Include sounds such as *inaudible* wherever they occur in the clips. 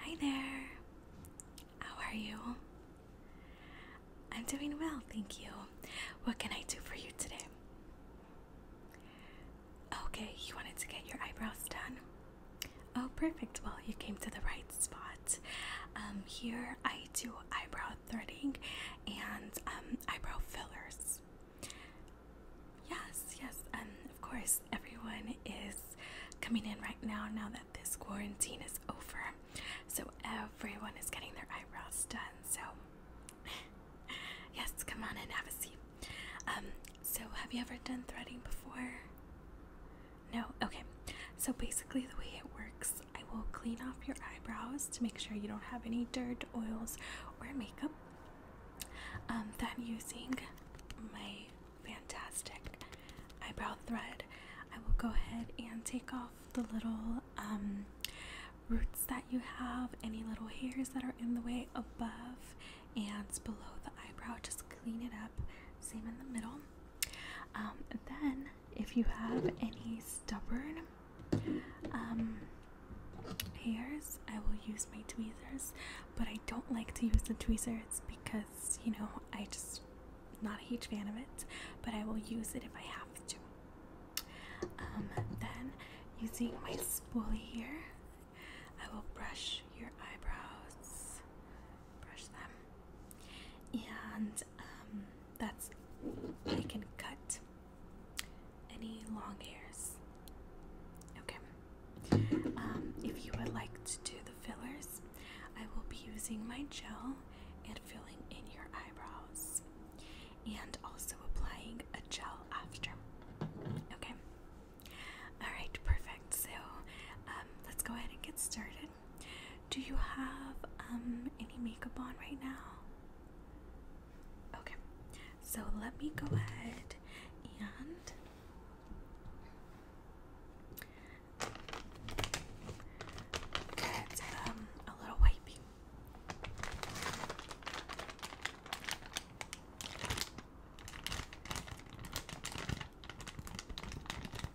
Hi there. How are you? I'm doing well, thank you. What can I do for you today? Okay, you wanted to get your eyebrows done. Oh, perfect. Well, you came to the right spot. Um, here I do eyebrow threading and um, eyebrow fillers. Yes, yes, and of course, everyone is coming in right now, now that this quarantine is over. So, everyone is getting their eyebrows done. So, *laughs* yes, come on and have a seat. Um, so, have you ever done threading before? No? Okay. So, basically, the way it works I will clean off your eyebrows to make sure you don't have any dirt, oils, or makeup. Um, then using my fantastic eyebrow thread, I will go ahead and take off the little um, roots that you have, any little hairs that are in the way above and below the eyebrow. Just clean it up, same in the middle. Um, then if you have any stubborn um, hairs, I will use my tweezers. But I don't like to use the tweezers because, you know, I just not a huge fan of it. But I will use it if I have to. Um, then, using my spoolie here, I will brush your eyebrows brush them, and um, that's I can cut any long hairs. Okay. Um, if you would like to do the fillers, I will be using my gel and filling in your eyebrows, and also applying a gel after. Okay. All right, perfect. So um, let's go ahead and get started. Do you have um any makeup on right now? Okay. So let me go ahead and get um a little wiping.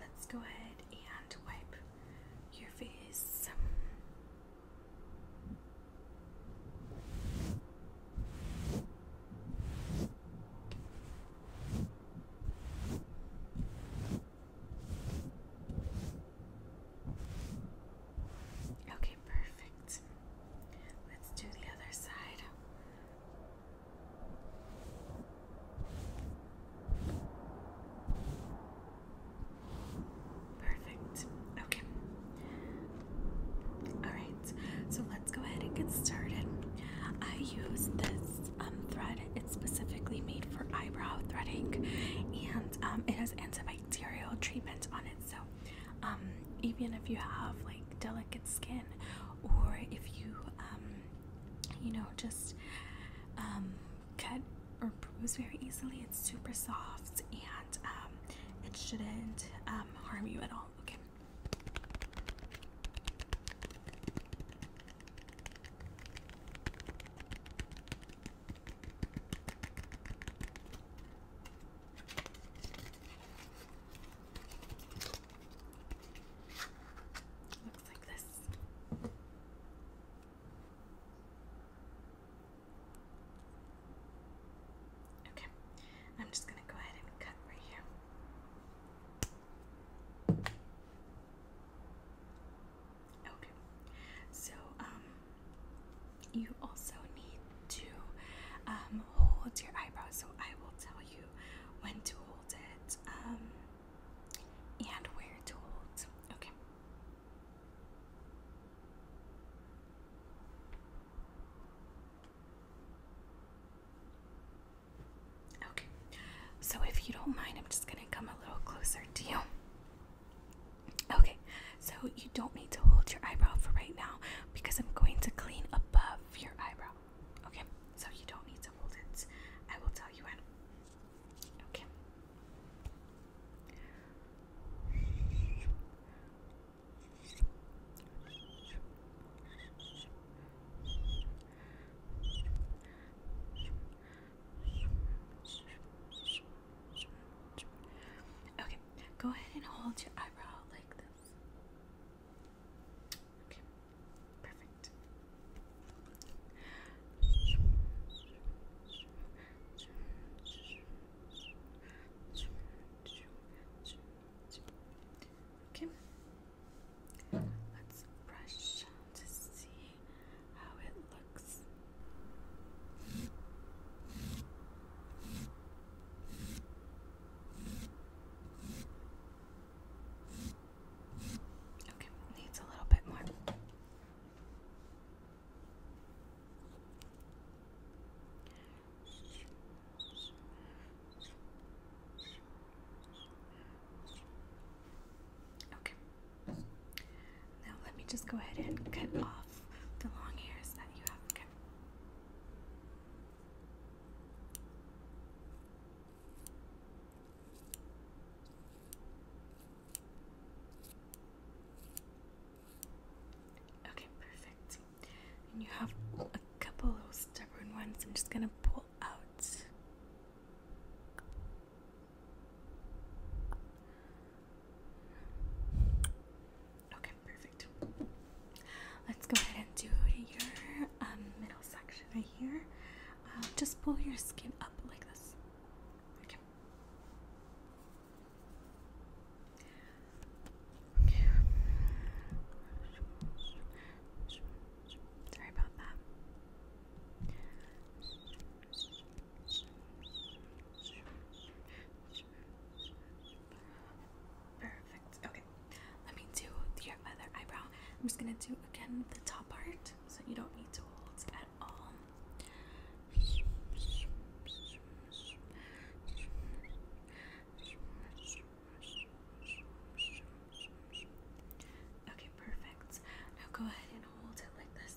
Let's go ahead and wipe your face. Okay, perfect. Let's do the other side. Perfect. Okay. Alright, so let's go ahead and get started. I use this um, thread, it's specifically made for eyebrow threading and um, it has antibacterial treatment on it. So, um, even if you have like delicate skin or if you um, you know, just um, cut or bruise very easily. It's super soft and um, it shouldn't um, harm you at all. Okay. Looks like this. Okay, I'm just going to go ahead and cut right here. Okay, so um, you also need to um, hold your eyebrows. So I will tell you when to um, and where to Okay. Okay, so if you don't mind, I'm just going to come a little closer to you. Okay, so you don't need to hold your eyebrow for right now because I'm going to clean above your eyebrow. Okay, so you don't need to hold it. I will tell you when. Okay. Okay, go ahead and hold your eyebrow like Okay, perfect. Okay, let's brush to see how it looks. Okay, needs a little bit more. Okay. Now let me just go ahead and cut off the long hairs that you have. Okay. Okay, perfect. And you have a couple little stubborn ones. I'm just gonna pull out. Okay, perfect. Let's go ahead and do your um, middle section right here. Uh, just pull your skin up like this. Okay. Sorry about that. Perfect. Okay. Let me do your other eyebrow. I'm just gonna do again the top part, so you don't need to hold at all. Okay, perfect. Now go ahead and hold it like this.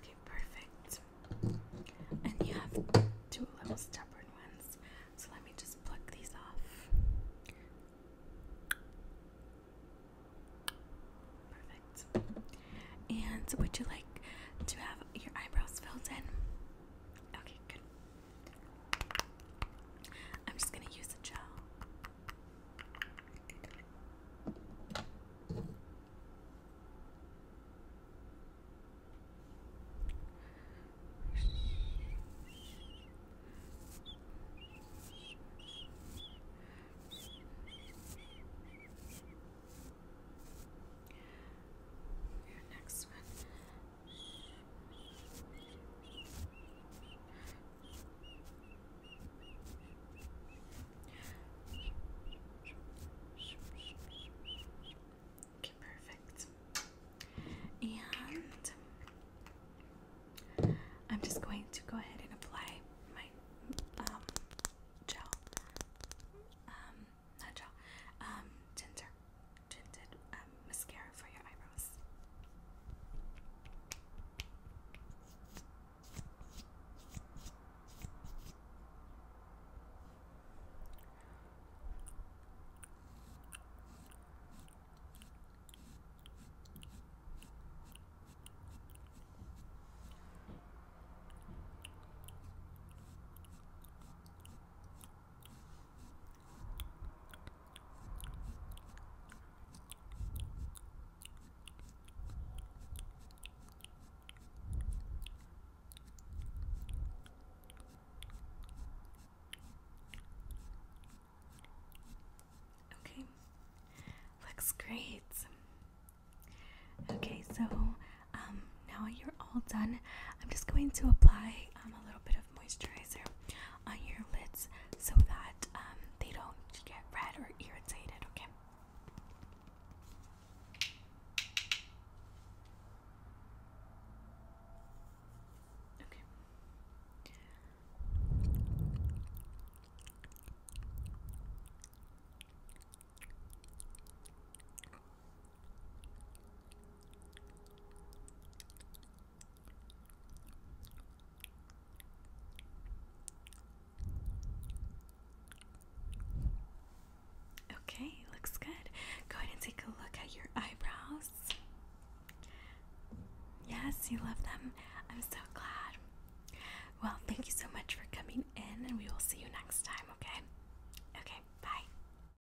Okay, perfect. And you have two little stubborn ones, so let me just pluck these off. Perfect. And would you like to have your eyebrows filled in? Okay, good. I'm just going to use a gel. Your next one Okay, perfect. And I'm just going to go ahead and apply my um, gel, um, not gel, um, ginger tinted um, mascara for your eyebrows. Okay, looks great. Okay, so um, now you're all done. I'm just going to apply um, a little bit of moisturizer on your lids so that um, they don't get red or irritated, Okay. Okay. Okay, looks good. Go ahead and take a look at your eyebrows. Yes, you love them. I'm so glad. Well, thank you so much for coming in, and we will see you next time, okay? Okay, bye.